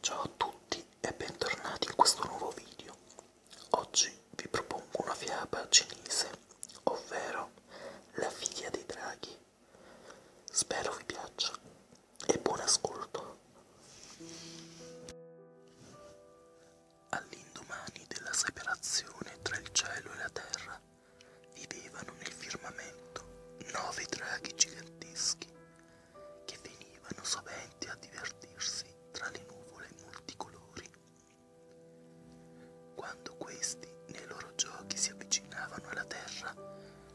Ciao a tutti e bentornati in questo nuovo video. Oggi vi propongo una fiaba cinese, ovvero La figlia dei draghi. Spero vi piaccia e buon ascolto. All'indomani della separazione tra il cielo e la terra, vivevano nel firmamento nove draghi giganteschi che venivano sovente a divertirsi tra le nuvole multicolori. Quando questi nei loro giochi si avvicinavano alla terra,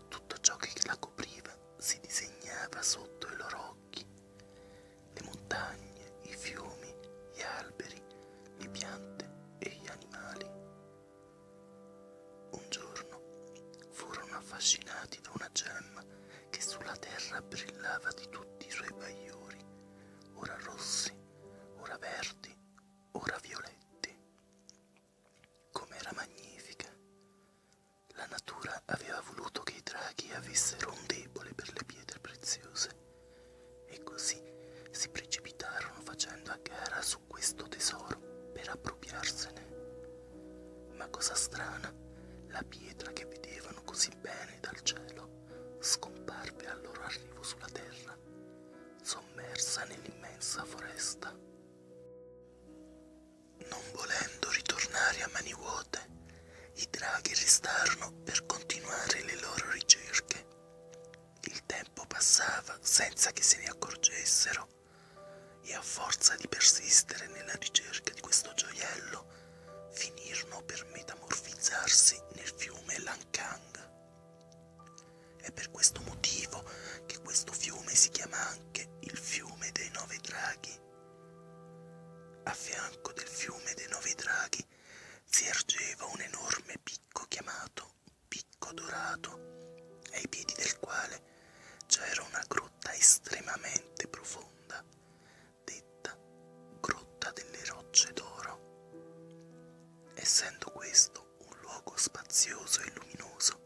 tutto ciò che la copriva si disegnava sotto i loro occhi, le montagne, i fiumi, gli alberi, le piante e gli animali. Un giorno furono affascinati da una gemma che sulla terra brillava di tutti i suoi bagliori, ora rossi, ora verdi, ora violetti. Com'era magnifica! La natura aveva voluto che i draghi avessero un debole per le pietre preziose e così si precipitarono facendo a gara su questo tesoro per appropriarsene. Ma cosa strana, la pietra che vedevano così bene dal cielo scomparve al loro arrivo sulla terra, sommersa nell'immensa foresta. Non volendo ritornare a mani vuote, i draghi restarono per continuare le loro ricerche. Il tempo passava senza che se ne accorgessero e a forza di persistere nella ricerca di questo gioiello finirono per metamorfizzarsi nel fiume Lankang. È per questo motivo che questo fiume si chiama anche il fiume dei nove draghi. A fianco del fiume dei nove draghi si ergeva un enorme picco chiamato Picco Dorato, ai piedi del quale c'era una grotta estremamente profonda, detta Grotta delle Rocce d'Oro. Essendo questo un luogo spazioso e luminoso,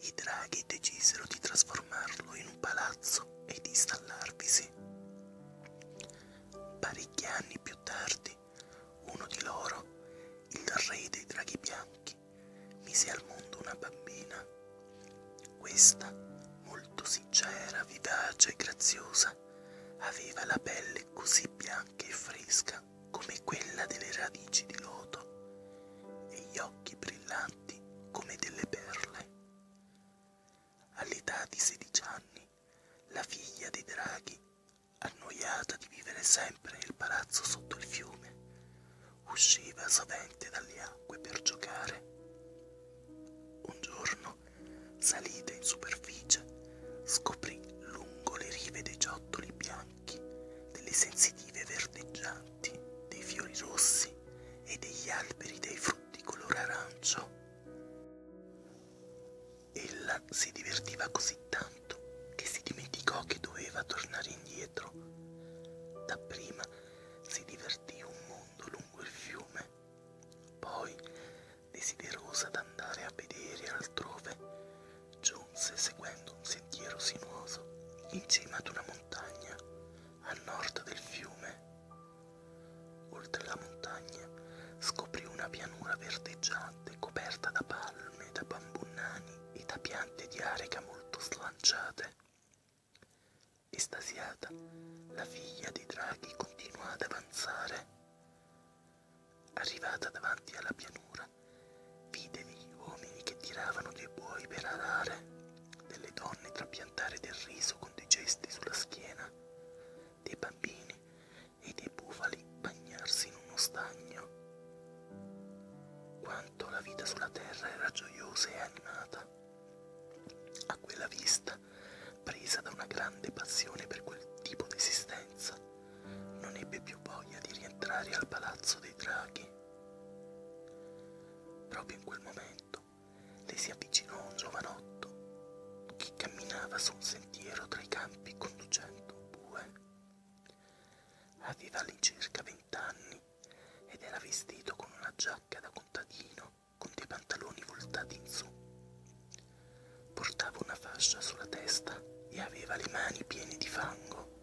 i draghi decisero di trasformarlo in un palazzo ed installarvisi. Parecchi anni più tardi, uno di loro, il re dei draghi bianchi, occhi mise al mondo una bambina. Questa, molto sincera, vivace e graziosa, aveva la pelle così bianca e fresca come quella delle radici di loto e gli occhi brillanti come delle perle. All'età di 16 anni, la figlia dei draghi, annoiata di vivere sempre nel palazzo sotto il fiume, usciva sovente dalle acque per giocare. Un giorno, salita in superficie, scoprì lungo le rive dei ciottoli bianchi, delle sensitive verdeggianti, dei fiori rossi e degli alberi dei frutti color arancio. Ella si divertiva così tanto che si dimenticò che doveva tornare indietro Dapprima si divertì un mondo lungo il fiume, poi, desiderosa d'andare a vedere altrove, giunse seguendo un sentiero sinuoso in cima ad una montagna a nord del fiume. Oltre la montagna scoprì una pianura verdeggiante coperta da palme e da bambunani e da piante di areca molto slanciate. Estasiata, la figlia dei draghi continua ad avanzare. Arrivata davanti alla pianura, vide degli uomini che tiravano dei buoi per arare, delle donne trapiantare del riso con dei gesti sulla schiena, dei bambini e dei bufali bagnarsi in uno stagno. Quando quanto la vita sulla terra era gioiosa e animata. A quella vista, presa da una grande passione per quel tipo di esistenza, non ebbe più voglia di rientrare al palazzo dei draghi. Proprio in quel momento le si avvicinò un giovanotto che camminava su un sentiero tra i campi conducendo un bue. Aveva all'incirca vent'anni ed era vestito con una giacca da contadino con dei pantaloni voltati in su. Portava una fascia sulla testa e aveva le mani piene di fango.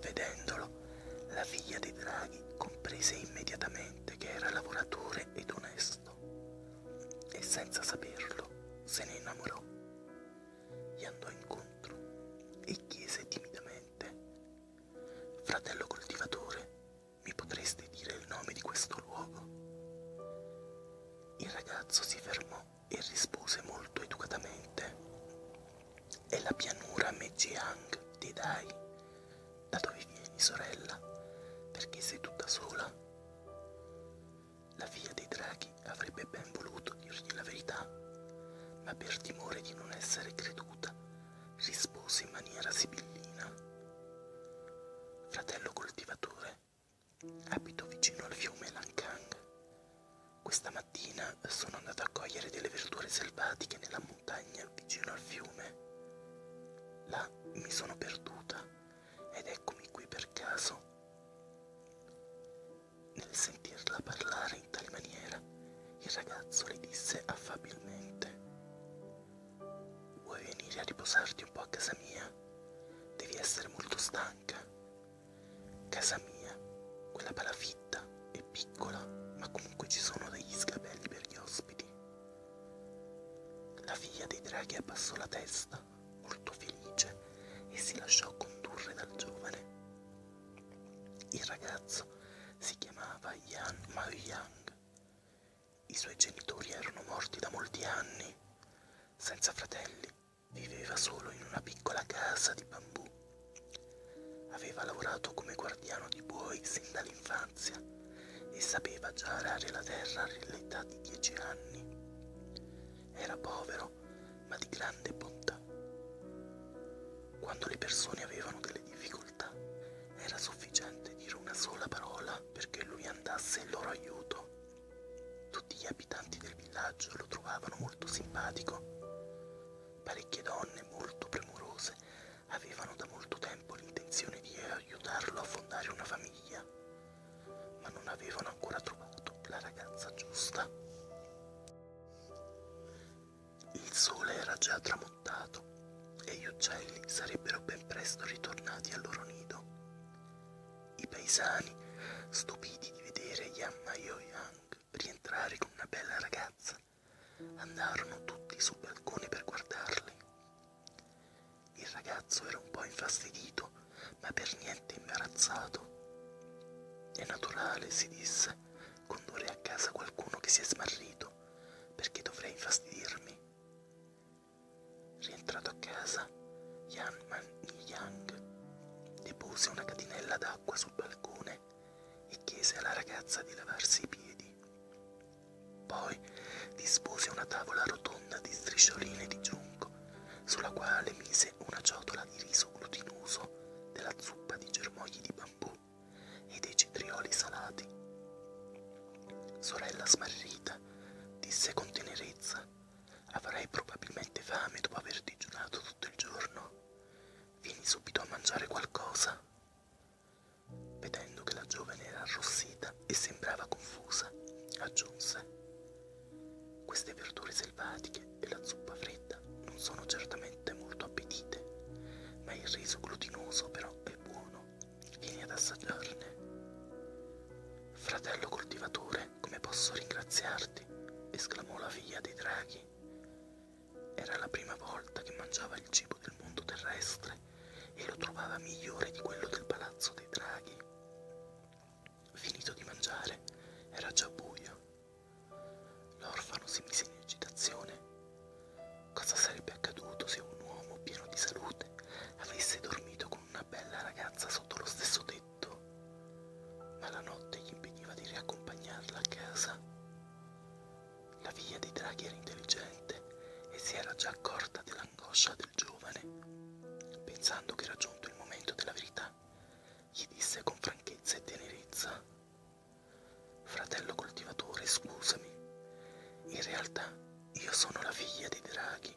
Vedendolo, la figlia dei draghi comprese immediatamente che era lavoratore ed onesto e senza saperlo se ne innamorò gli andò incontro e chiese timidamente, Fratello coltivatore, mi potreste dire il nome di questo luogo? Il ragazzo si fermò e rispose molto educatamente, È la pianura Mejiang di Dai. Da dove vieni, sorella? Perché sei tutta sola? La figlia dei draghi avrebbe ben voluto scelto dirgli la verità, ma per timore di non essere creduta rispose in maniera sibillina. Fratello coltivatore, abito vicino al fiume Lancang. Questa mattina sono andato a cogliere delle verdure selvatiche nella montagna vicino al fiume. Là mi sono perduta ed eccomi qui per caso. Nel sentirla parlare in tale maniera, il ragazzo le disse affabilmente Vuoi venire a riposarti un po' a casa mia? Devi essere molto stanca. Casa mia, quella palafitta, è piccola, ma comunque ci sono degli sgabelli per gli ospiti. La figlia dei draghi abbassò la testa, molto felice, e si lasciò condurre dal giovane. Il ragazzo si chiamava Yan Mao Yang. I suoi genitori erano morti da molti anni. Senza fratelli, viveva solo in una piccola casa di bambù. Aveva lavorato come guardiano di buoi sin dall'infanzia e sapeva già arare la terra all'età di dieci anni. Era povero, ma di grande bontà. Quando le persone avevano delle difficoltà, era sufficiente dire una sola parola perché lui andasse in loro aiuto. Tutti gli abitanti del villaggio lo trovavano molto simpatico. Parecchie donne molto premurose avevano da molto tempo l'intenzione di aiutarlo a fondare una famiglia, ma non avevano ancora trovato la ragazza giusta. Il sole era già tramontato e gli uccelli sarebbero ben presto ritornati al loro nido. I paesani, stupiti di vedere Yamma Yoyang rientrare con una bella ragazza, andarono tutti sul balcone per guardarli. Il ragazzo era un po' infastidito, ma per niente imbarazzato. È naturale, si disse, condurre a casa qualcuno che si è smarrito, perché dovrei infastidirmi. Rientrato a casa, Yan Man Yang depose una catinella d'acqua sul balcone e chiese alla ragazza di lavarsi i piedi. Poi dispose una tavola rotonda di striscioline di giunco, sulla quale mise una ciotola di riso glutinoso della zuppa di germogli di bambù e dei cetrioli salati. Sorella smarrita disse con tenerezza: Avrai probabilmente fame dopo aver digiunato tutto il giorno. Vieni subito a mangiare qualcosa. Vedendo che la giovane era arrossita e sembrava confusa, aggiunse: Queste verdure selvatiche e la zuppa fredda non sono certamente molto appetite, ma il riso glutinoso però è buono, vieni ad assaggiarne. Fratello coltivatore, come posso ringraziarti? esclamò la figlia dei draghi. Era la prima volta che mangiava il cibo del mondo terrestre e lo trovava migliore di quello del palazzo dei draghi. Finito di mangiare, era già buio L'orfano si mise in agitazione. Cosa sarebbe accaduto se un uomo pieno di salute avesse dormito con una bella ragazza sotto lo stesso tetto? Ma la notte gli impediva di riaccompagnarla a casa. La figlia dei draghi era intelligente e si era già accorta dell'angoscia del giovane. Pensando che era giunto il momento della verità, gli disse con franchezza e tenerezza Fratello coltivatore, scusami. In realtà io sono la figlia dei draghi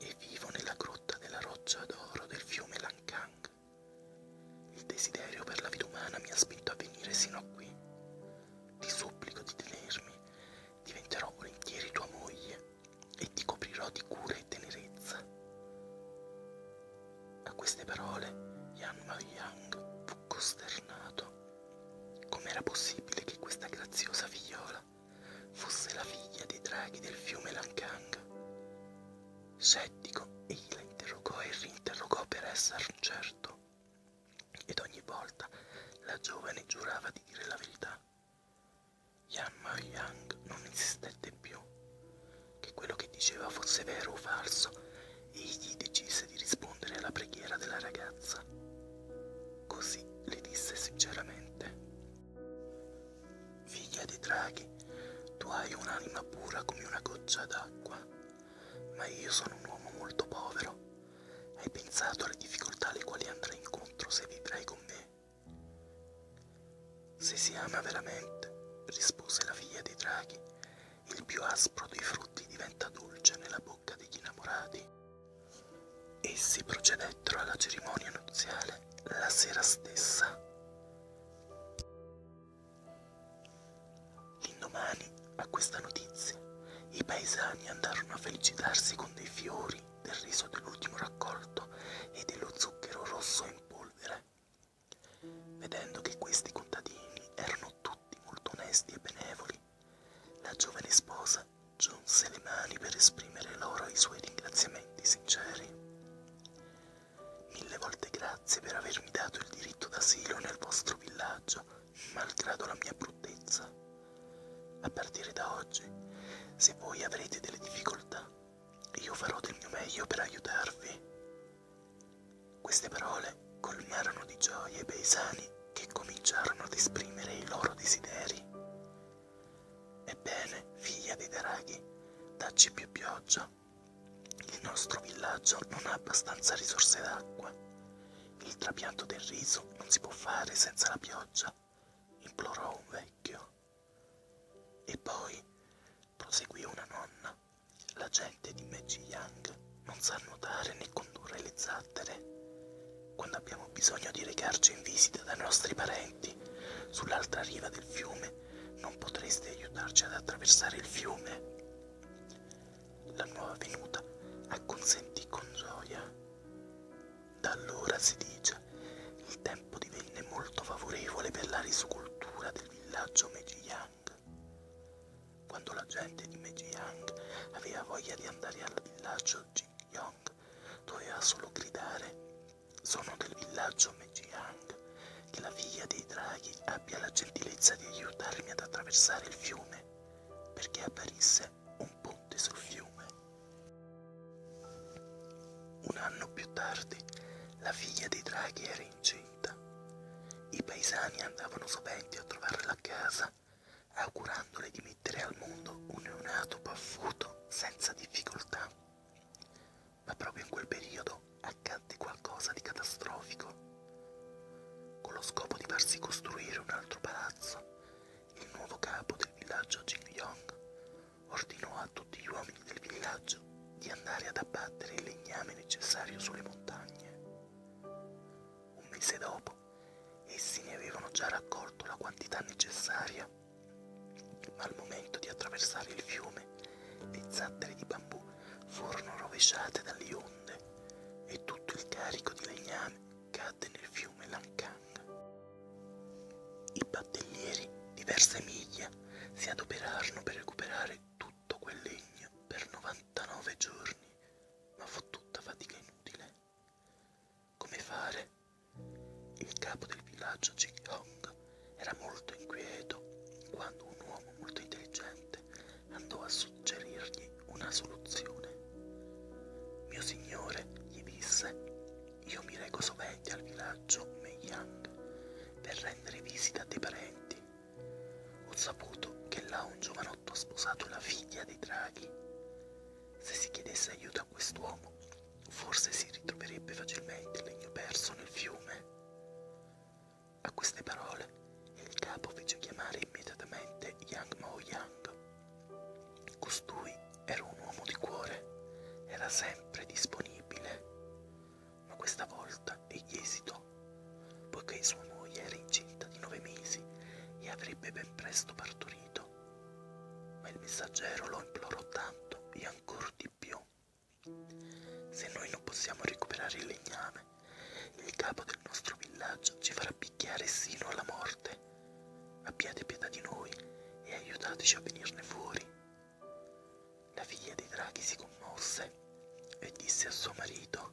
e vivo nella grotta della roccia d'oro del fiume Lancang. Il desiderio per la vita umana mi ha spinto a venire sino a qui. Ti supplico di tenermi, diventerò volentieri tua moglie e ti coprirò di cura e tenerezza. A queste parole Yan Ma Yang fu costernato. Com'era possibile che questa graziosa figliola fosse la figlia dei draghi del fiume Lankang? Scettico, egli la interrogò e rinterrogò per esserne certo, ed ogni volta la giovane giurava di dire la verità. Yan Mao Yang non esistette più che quello che diceva fosse vero o falso, e egli decise di rispondere alla preghiera della ragazza. Così le disse sinceramente, Figlia di draghi, tu hai un'anima pura come una goccia d'acqua, ma io sono un uomo molto povero. Hai pensato alle difficoltà alle quali andrai incontro se vivrai con me? Se si ama veramente, rispose la figlia dei draghi, il più aspro dei frutti diventa dolce nella bocca degli innamorati. Essi procedettero alla cerimonia nuziale la sera stessa. L'indomani, a questa notizia, i paesani andarono a felicitarsi con dei fiori, del riso dell'ultimo raccolto e dello zucchero rosso in polvere Vedendo che questi contadini erano tutti molto onesti e benevoli, la giovane sposa giunse le mani per esprimere loro i suoi ringraziamenti sinceri. Mille volte grazie per avermi dato il diritto d'asilo nel vostro villaggio, malgrado la mia bruttezza. A partire da oggi, se voi avrete delle difficoltà, io farò del mio meglio per aiutarvi. Queste parole colmarono di gioia i paesani che cominciarono ad esprimere i loro desideri. Ebbene, figlia dei draghi, dacci più pioggia. Il nostro villaggio non ha abbastanza risorse d'acqua. Il trapianto del riso non si può fare senza la pioggia, implorò un vecchio. E poi proseguì una nonna. La gente di Meiji Yang non sa nuotare né condurre le zattere. Quando abbiamo bisogno di recarci in visita dai nostri parenti, sull'altra riva del fiume, non potreste aiutarci ad attraversare il fiume? La nuova venuta acconsentì con gioia. Da allora, si dice, il tempo divenne molto favorevole per la riscultura del villaggio Meiji Yang Yang. Quando la gente di Meijang aveva voglia di andare al villaggio Jingyong, doveva solo gridare: Sono del villaggio Meijang. Che la figlia dei draghi abbia la gentilezza di aiutarmi ad attraversare il fiume, perché apparisse un ponte sul fiume. Un anno più tardi, la figlia dei draghi era incinta. I paesani andavano sovente a trovare la casa, augurandole di mettere al mondo un neonato paffuto senza difficoltà. Ma proprio in quel periodo accadde qualcosa di catastrofico. Con lo scopo di farsi costruire un altro palazzo, il nuovo capo del villaggio Jing Yong ordinò a tutti gli uomini del villaggio deciso di andare ad abbattere il legname necessario sulle montagne. Un mese dopo, essi ne avevano già raccolto la quantità necessaria, ma al momento di attraversare il fiume, le zattere di bambù furono rovesciate dalle onde e tutto il carico di legname cadde nel fiume Lancang. I battellieri, diverse miglia, si adoperarono per recuperare tutto tutto quel legno per 99 giorni, ma fu tutta fatica inutile. Come fare? Il capo del villaggio Jighong era molto inquieto quando un uomo molto intelligente andò a suggerirgli una soluzione. Mio signore, gli disse, io mi reco sovente al villaggio Meiyang per rendere visita a dei parenti ho saputo che là un giovanotto ha sposato la figlia dei draghi. Se si chiedesse aiuto a quest'uomo, forse si ritroverebbe facilmente il legno perso nel fiume. A queste parole il capo fece chiamare immediatamente Yang Mao Yang. Costui era un uomo di cuore, era sempre disponibile ma questa volta egli esitò, poiché sua moglie era incinta di nove mesi e avrebbe ben presto partorito. Ma il messaggero lo implorò tanto e ancor di più. Se noi non possiamo recuperare il legname, il capo del nostro villaggio ci farà picchiare sino alla morte. Abbiate pietà di noi e aiutateci a venirne fuori. La figlia di Draghi si commosse e disse a suo marito,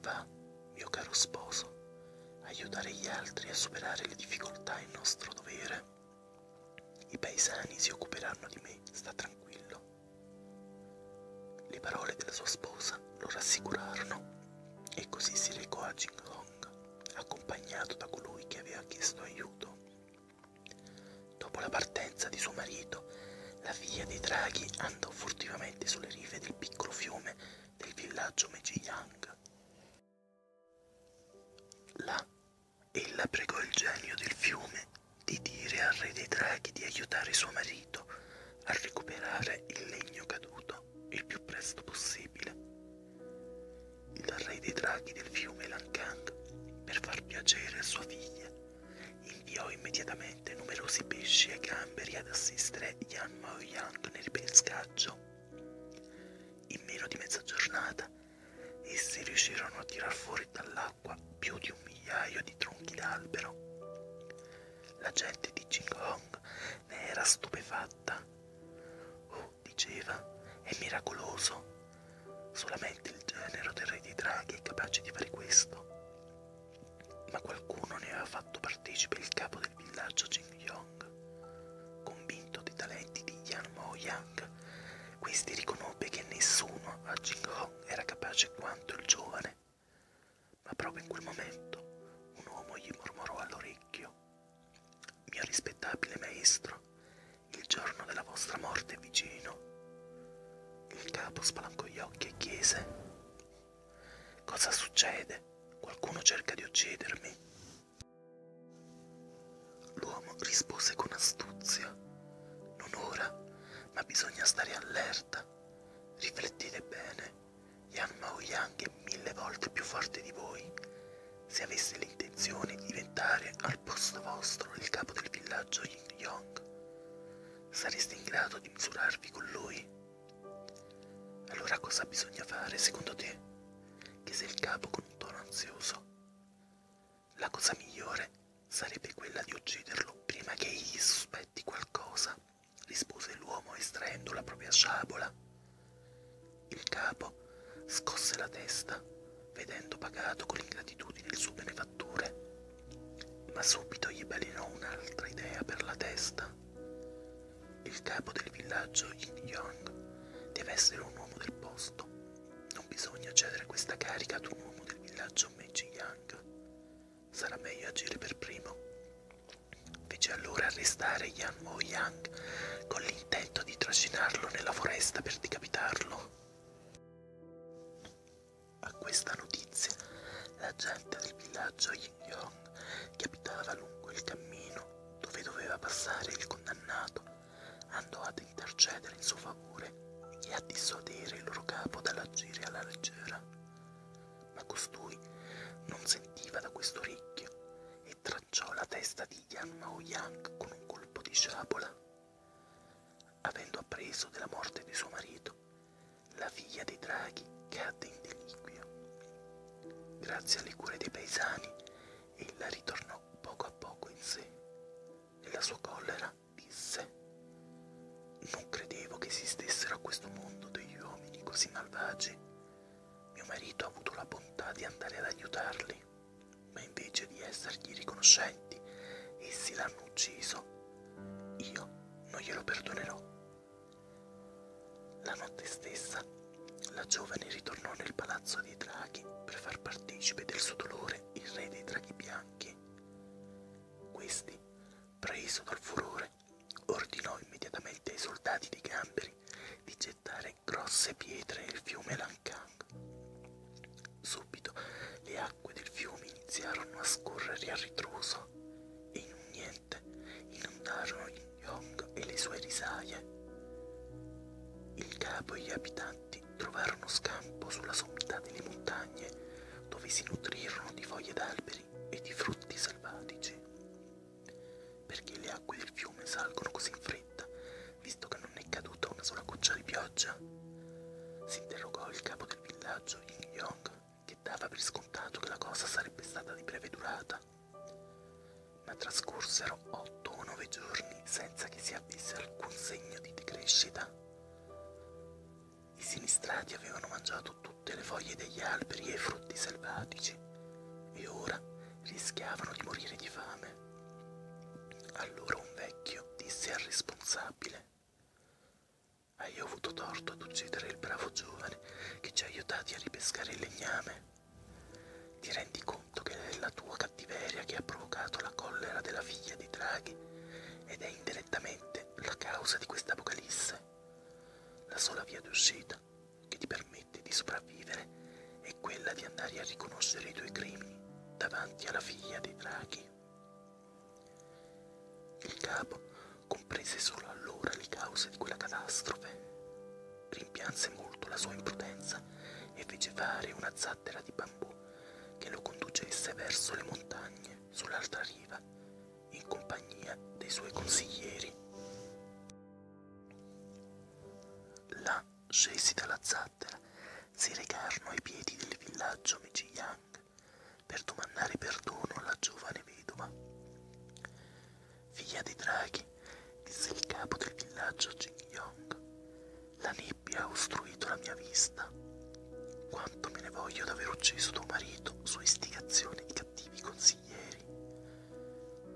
Va, mio caro sposo, aiutare gli altri a superare le difficoltà è nostro dovere. I paesani si occuperanno di me, sta tranquillo. Le parole della sua sposa lo rassicurarono e così si recò a Jing Hong, accompagnato da colui che aveva chiesto aiuto. Dopo la partenza di suo marito, la figlia dei draghi andò furtivamente sulle rive del piccolo fiume del villaggio Mejiyang. Là, ella pregò il genio del fiume di dire al re dei draghi di aiutare suo marito a recuperare il legno caduto il più presto possibile. Il re dei draghi del fiume Lankang, per far piacere a sua figlia, Inviò immediatamente numerosi pesci e gamberi ad assistere Yan Mao Yang nel pescaggio. In meno di mezza giornata essi riuscirono a tirar fuori dall'acqua più di un migliaio di tronchi d'albero. La gente di Qinghong ne era stupefatta. Oh, diceva, è miracoloso. Solamente il genero del re dei draghi è capace di fare questo ma qualcuno ne aveva fatto partecipe il capo del villaggio Jing Yong. Convinto dei talenti di Yan Mo Yang, questi riconobbe che nessuno a Jing Hong era capace quanto il giovane, ma proprio in quel momento un uomo gli mormorò all'orecchio: Mio rispettabile maestro, il giorno della vostra morte è vicino. Il capo spalancò gli occhi e chiese: Cosa succede? Qualcuno cerca di uccidermi. L'uomo rispose con astuzia: Non ora, ma bisogna stare allerta. Riflettete bene. Yan Mao Yang è mille volte più forte di voi. Se avesse l'intenzione di diventare al posto vostro il capo del villaggio Yin Yong, sareste in grado di misurarvi con lui? Allora cosa bisogna fare secondo te? chiese il capo con un tono ansioso. La cosa migliore sarebbe quella di ucciderlo prima che egli sospetti qualcosa, rispose l'uomo estraendo la propria sciabola. Il capo scosse la testa, vedendo pagato con ingratitudine il suo benefattore. Ma subito gli balenò un'altra idea per la testa. Il capo del villaggio Yin Yang deve essere un uomo del posto. Non bisogna cedere questa carica ad un uomo del villaggio Meiji Yang. Sarà meglio agire per primo. Fece allora arrestare Yan Mo Yang con l'intento di trascinarlo nella foresta per decapitarlo. A questa notizia la gente del villaggio Yin-Yong, che abitava lungo il cammino dove doveva passare il condannato, andò ad intercedere in suo favore e a dissuadere il loro capo dall'agire alla leggera. Ma costui non sentiva da questo orecchio e tracciò la testa di Yan Mao Yang con un colpo di sciabola avendo appreso della morte di suo marito, la figlia dei draghi cadde in deliquio. Grazie alle cure dei paesani, ella ritornò poco a poco in sé. Nella sua collera disse Non credevo che esistessero a questo mondo degli uomini così malvagi. Mio marito ha avuto la bontà di andare ad aiutarli, ma invece di essergli riconoscenti, essi l'hanno ucciso io non glielo perdonerò. La notte stessa, la giovane ritornò nel palazzo dei draghi per far partecipe del suo dolore il re dei draghi bianchi. Questi, preso dal furore, ordinò immediatamente ai soldati di Gamberi di gettare grosse pietre nel fiume Lancang subito le acque del fiume iniziarono a scorrere a ritroso e in un niente inondarono Yong e le sue risaie. Il capo e gli abitanti trovarono scampo sulla sommità delle montagne dove si nutrirono di foglie d'alberi e di frutti selvatici. Perché le acque del fiume salgono così in fretta, visto che non è caduta una sola goccia di pioggia? Si interrogò il capo del villaggio sorriso Yin Yong che dava per scontato che la cosa sarebbe stata di breve durata. Ma trascorsero otto o nove giorni senza che si avesse alcun segno di decrescita. I sinistrati avevano mangiato tutte le foglie degli alberi e i frutti selvatici e ora rischiavano di morire di fame. Allora un vecchio disse al responsabile hai io avuto torto ad uccidere il bravo giovane che ci ha aiutati a ripescare il legname? Ti rendi conto che è la tua cattiveria che ha provocato la collera della figlia di Draghi ed è indirettamente la causa di questa apocalisse? La sola via d'uscita che ti permette di sopravvivere è quella di andare a riconoscere i tuoi crimini davanti alla figlia dei draghi. Il capo comprese solo allora le cause di quella catastrofe, rimpianse molto la sua imprudenza e fece fare una zattera di bambù che lo conducesse verso le montagne sull'altra riva in compagnia dei suoi consiglieri. Là, scesi dalla zattera, si recarono ai piedi del villaggio Mejiang per domandare perdono alla giovane vedova. Figlia di draghi, disse il capo del villaggio Jing-Yong, la nebbia ha ostruito la mia vista. Quanto me ne voglio d'aver ucciso tuo marito su istigazione di cattivi consiglieri.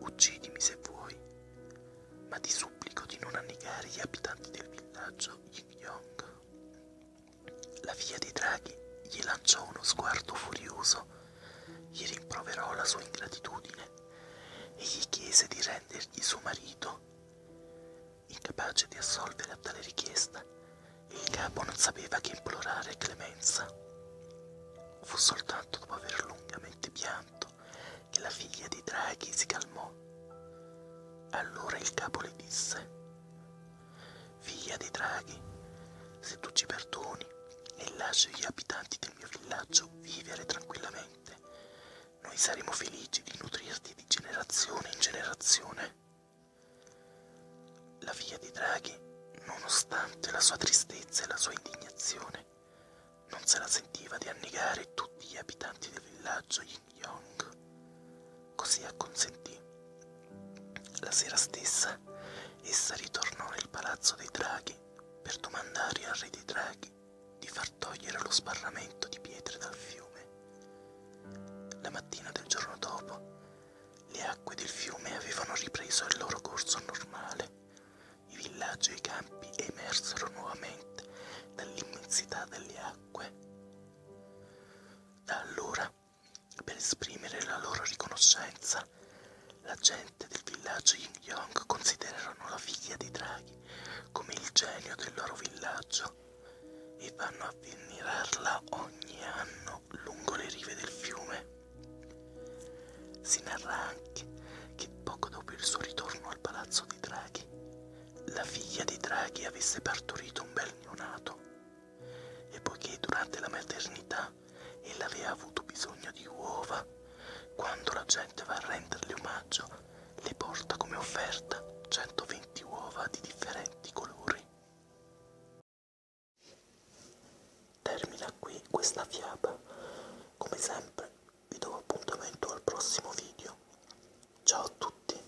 Uccidimi se vuoi, ma ti supplico di non annegare gli abitanti del villaggio Yin Yong. La figlia di Draghi gli lanciò uno sguardo furioso, gli rimproverò la sua ingratitudine e gli chiese di rendergli suo marito. Incapace di assolvere a tale richiesta, il capo non sapeva che implorare clemenza. Fu soltanto dopo aver lungamente pianto che la figlia di Draghi si calmò. Allora il capo le disse figlia dei draghi, se tu ci perdoni e lasci gli abitanti del mio villaggio vivere tranquillamente, noi saremo felici di nutrirti di generazione in generazione. La figlia dei draghi, nonostante la sua tristezza e la sua indignazione, non se la sentiva di annegare tutti gli abitanti del villaggio e gli Shin-yong. Così acconsentì. La sera stessa essa ritornò nel palazzo dei draghi per domandare al re dei draghi di far togliere lo sbarramento di pietre dal fiume. La mattina del giorno dopo, le acque del fiume avevano ripreso il loro corso normale. I villaggi e i campi emersero nuovamente dall'immensità delle acque. Da allora per esprimere la loro riconoscenza, la gente del villaggio Yin Yong considerano la figlia dei draghi come il genio del loro villaggio e vanno a venerarla ogni anno lungo le rive del fiume. Si narra anche che poco dopo il suo ritorno al palazzo dei draghi, la figlia dei draghi avesse partorito un bel neonato e poiché durante la maternità ella aveva avuto bisogno di uova, quando la gente va a renderle omaggio le porta come offerta 120 uova di differenti colori. Termina qui questa fiaba. Come sempre vi do appuntamento al prossimo video. Ciao a tutti!